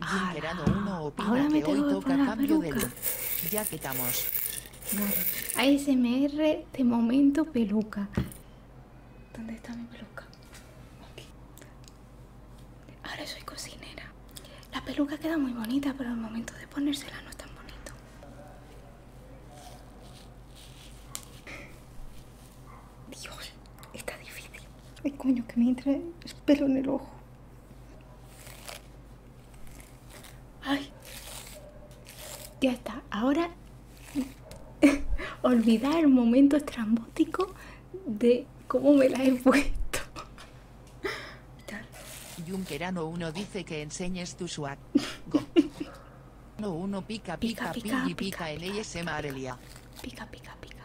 Ahora me tengo que cambio de Ya quitamos. ASMR de momento peluca. ¿Dónde está mi peluca? Ahora soy cocinera. La peluca queda muy bonita, pero al momento de ponérsela no es tan bonito. Dios, está difícil. Ay, coño, que me entra en el ojo. Ay, ya está. Ahora olvidar el momento estrambótico de cómo me la he puesto. no uno dice que enseñes tu swag. Go. No uno pica pica pica pica, pica, pica, Pica, pica, pica.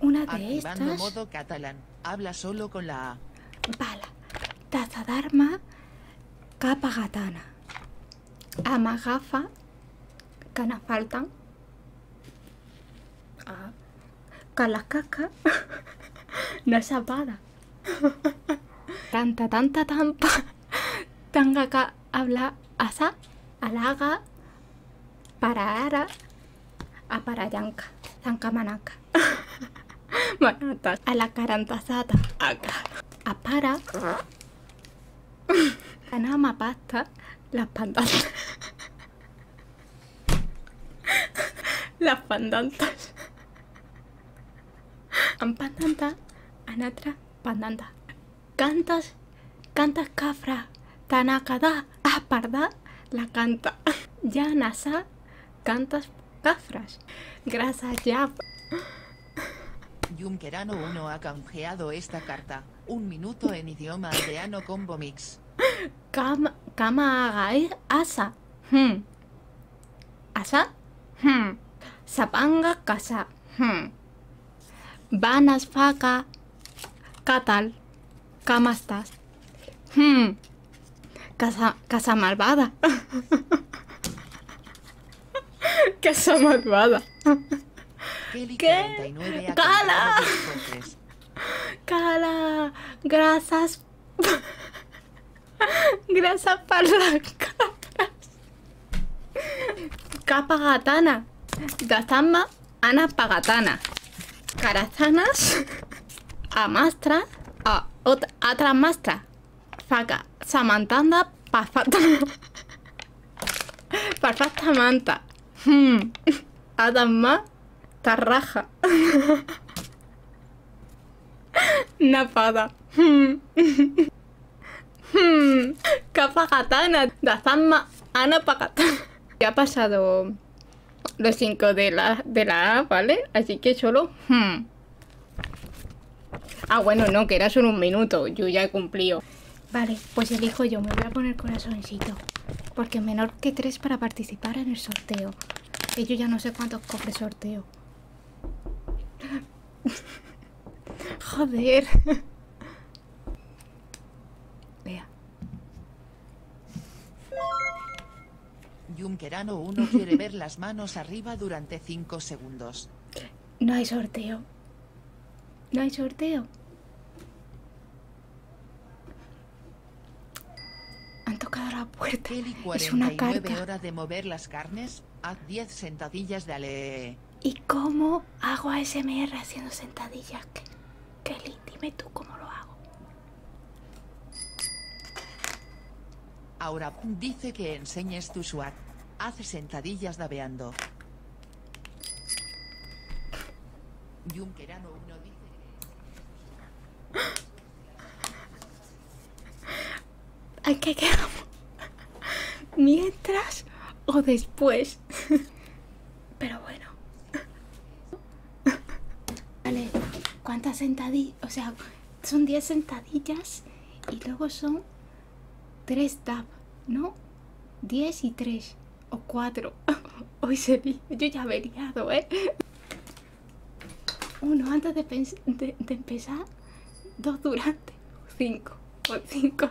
Una de modo catalán. Habla solo con la A. Bala. d'arma Capa gatana. Amagafa. Canafaltan. las ah. Calacaca. no es apada. tanta, tanta, tampa. ca habla asa. Alaga para ara a para yanka manaka manata a la carantasata acá a para canama pasta las pandantas las pandantas Am pandanta anatra pandanta cantas, cantas cafra, tanakada, aparda, la canta. Ya nasa, cantas cafras. Gracias, ya. querano uno ha canjeado esta carta. Un minuto en idioma aldeano combo mix. Kama, kama asa. Hmm. Asa? casa. Hmm. Vanas faca catal camastas. hm Casa, casa malvada. casa malvada. ¿Qué? ¡Cala! ¡Cala! Grasas. Grasas para las capas. Capa gatana. más Ana Pagatana, Carazanas, Amastra, a, otra, Mastra, Samantanda, Pafat Manta, hmm. Adamma, Tarraja, Napada, hmm. hmm. Kapagatana, Ana Pagatana. ¿Qué ha pasado los 5 de la, de la A, ¿vale? Así que solo... Hmm. Ah, bueno, no, que era solo un minuto. Yo ya he cumplido. Vale, pues elijo yo. Me voy a poner corazoncito. Porque menor que 3 para participar en el sorteo. Que yo ya no sé cuántos cofres sorteo. Joder. Vea. Junkerano uno quiere ver las manos arriba durante 5 segundos. No hay sorteo. No hay sorteo. Han tocado la puerta. es una carta. horas de mover las carnes, haz 10 sentadillas de ale. ¿Y cómo hago a SMR haciendo sentadillas? Kelly, dime tú cómo lo hago. Ahora dice que enseñes tu SWAT. Hace sentadillas dabeando. Junquerano uno dice que... ¿A qué ¿Mientras o después? Pero bueno. Vale, ¿cuántas sentadillas? O sea, son 10 sentadillas y luego son 3 tap, ¿no? 10 y 3 o 4. Hoy se vi yo ya me he liado, ¿eh? Uno antes de, de, de empezar, dos durante, cinco o cinco.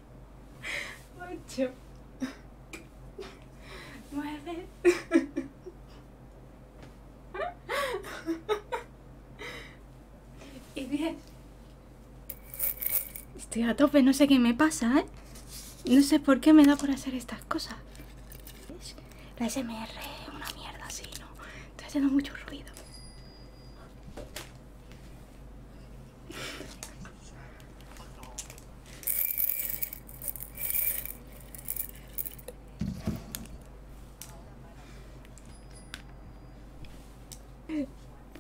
8, 9, y bien. Estoy a tope, no sé qué me pasa, ¿eh? No sé por qué me da por hacer estas cosas. La SMR es una mierda así, ¿no? Estoy haciendo mucho ruido.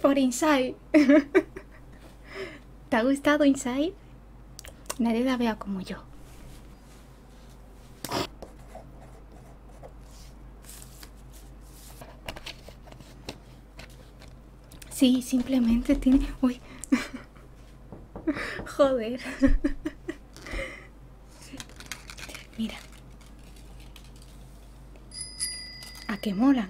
Por Inside. ¿Te ha gustado Inside? Nadie la vea como yo. Sí, simplemente tiene... Uy. Joder. Mira. ¿A qué molan?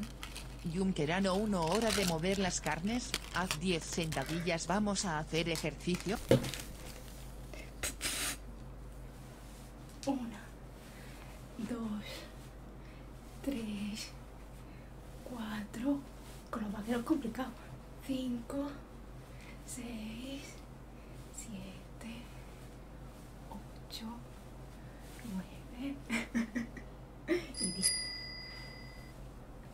querano uno hora de mover las carnes. Haz 10 sentadillas, vamos a hacer ejercicio. Una, 2, 3, 4, con los vaqueros complicados, 5, 6, 7, 8, 9 y 10.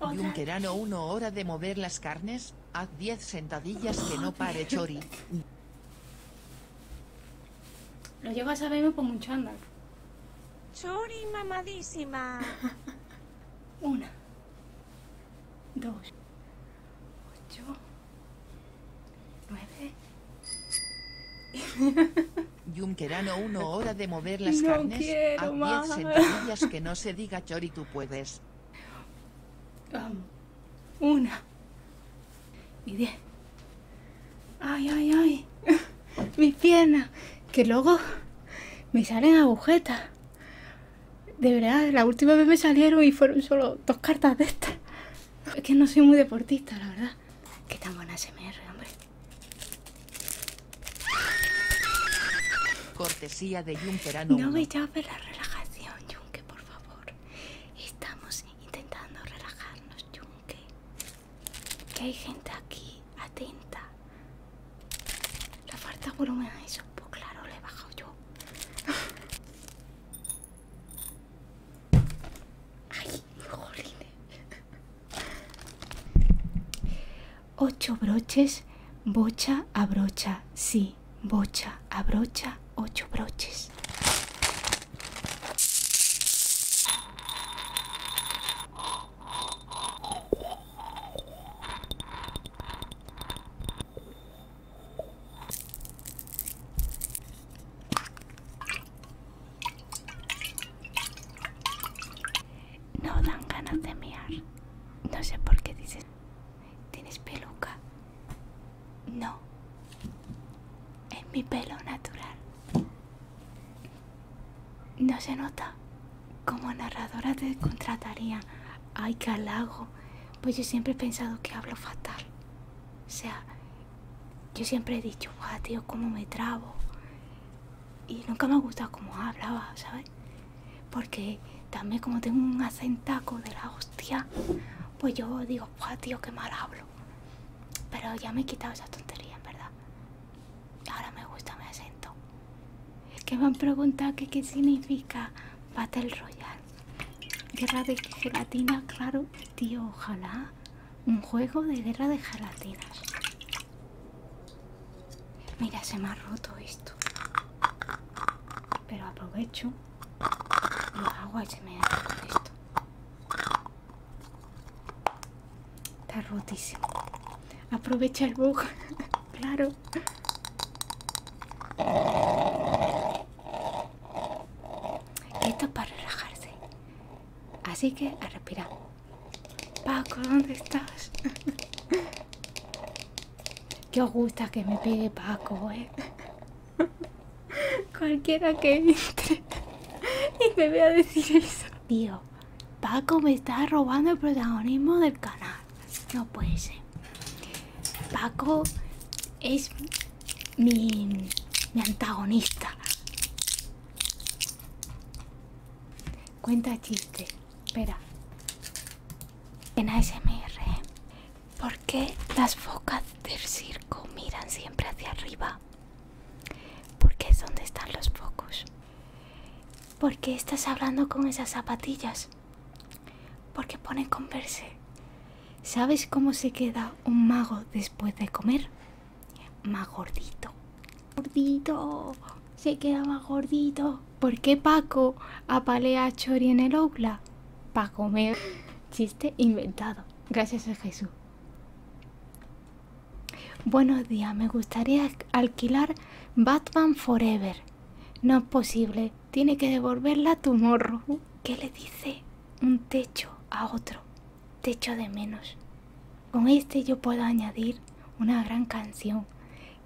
Junquerano, uno hora de mover las carnes, haz 10 sentadillas que no pare Chori. Lo llevas a verme por mucho andar. Chori mamadísima. Una. Dos. Ocho. Nueve. querano uno hora de mover las carnes. a diez sentadillas que no se diga Chori, tú puedes. una. Y diez. Ay, ay, ay. Mis piernas. Que luego me salen agujetas. De verdad, la última vez me salieron y fueron solo dos cartas de estas. Es que no soy muy deportista, la verdad. Qué tan buena SMR, hombre. Cortesía de No me ver la relajación, Yunque, por favor. Estamos intentando relajarnos, Junque que hay gente aquí atenta. la falta volumen a eso, pues claro, le he bajado yo. Ay, jolines. Ocho broches, bocha a brocha, sí, bocha a brocha, ocho broches. No dan ganas de miar. No sé por qué dicen ¿Tienes peluca? No. Es mi pelo natural. No se nota. Como narradora te contrataría. Ay, que halago. Pues yo siempre he pensado que hablo fatal. O sea, yo siempre he dicho, guau, tío, cómo me trabo. Y nunca me ha gustado cómo hablaba, ¿sabes? Porque también como tengo un acentaco de la hostia, pues yo digo, guau, tío, qué mal hablo. Pero ya me he quitado esa tontería, en verdad. Ahora me gusta mi acento. Es que me han preguntado que qué significa Battle Royale. Guerra de gelatina, claro, tío, ojalá. Un juego de guerra de gelatinas. Mira, se me ha roto esto. Pero aprovecho lo hago se me ha con esto. Está rotísimo. Aprovecha el bug. claro. Esto es para relajarse. Así que a respirar. Paco, ¿dónde estás? ¿Qué os gusta que me pegue Paco, eh? Cualquiera que entre y me vea decir eso. Tío, Paco me está robando el protagonismo del canal. No puede ser. Paco es mi, mi antagonista. Cuenta chiste. Espera. En ASMR. ¿eh? ¿Por qué las focas del circo miran siempre hacia arriba? Por qué es donde están los focos. qué estás hablando con esas zapatillas. ¿Por qué ponen converse. ¿Sabes cómo se queda un mago después de comer? Más gordito. Gordito. Se queda más gordito. ¿Por qué Paco apalea a Chori en el aula? Pa' comer. Chiste inventado. Gracias a Jesús. Buenos días, me gustaría alquilar Batman Forever. No es posible, tiene que devolverla a tu morro. Uh, ¿Qué le dice un techo a otro? Techo de menos. Con este yo puedo añadir una gran canción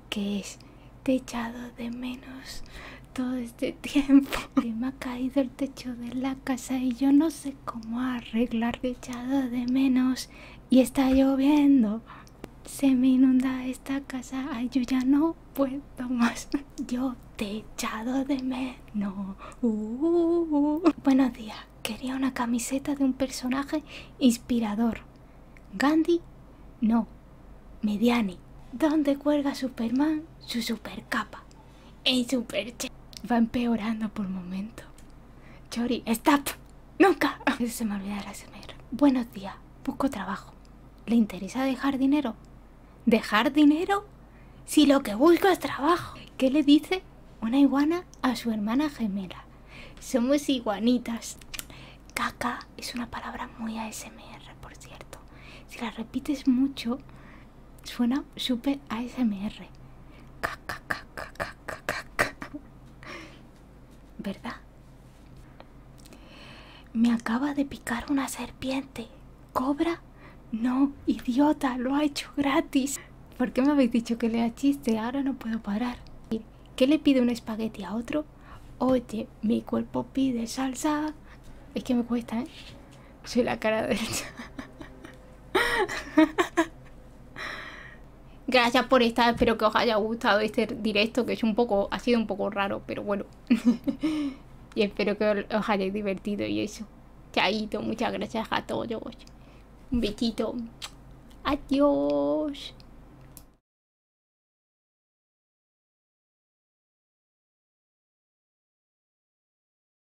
que es Techado de menos todo este tiempo. ha caído el techo de la casa y yo no sé cómo arreglar echado de menos y está lloviendo. Se me inunda esta casa, ay yo ya no puedo más. Yo te echado de menos. Uh. Buenos días, quería una camiseta de un personaje inspirador. Gandhi, no, Mediani. ¿Dónde cuelga Superman su supercapa? en un Va empeorando por momento. Chori, stop. Nunca. Se me olvida la Buenos días. Busco trabajo. ¿Le interesa dejar dinero? ¿Dejar dinero? Si lo que busco es trabajo. ¿Qué le dice una iguana a su hermana gemela? Somos iguanitas. Caca es una palabra muy ASMR, por cierto. Si la repites mucho, Suena super ASMR. ¿Verdad? Me acaba de picar una serpiente. ¿Cobra? No, idiota, lo ha hecho gratis. ¿Por qué me habéis dicho que le chiste? Ahora no puedo parar. ¿Qué le pide un espagueti a otro? Oye, mi cuerpo pide salsa. Es que me cuesta, ¿eh? Soy la cara derecha. Gracias por estar, espero que os haya gustado este directo, que es un poco, ha sido un poco raro, pero bueno. y espero que os hayáis divertido y eso. Chaito, muchas gracias a todos. Un besito. Adiós.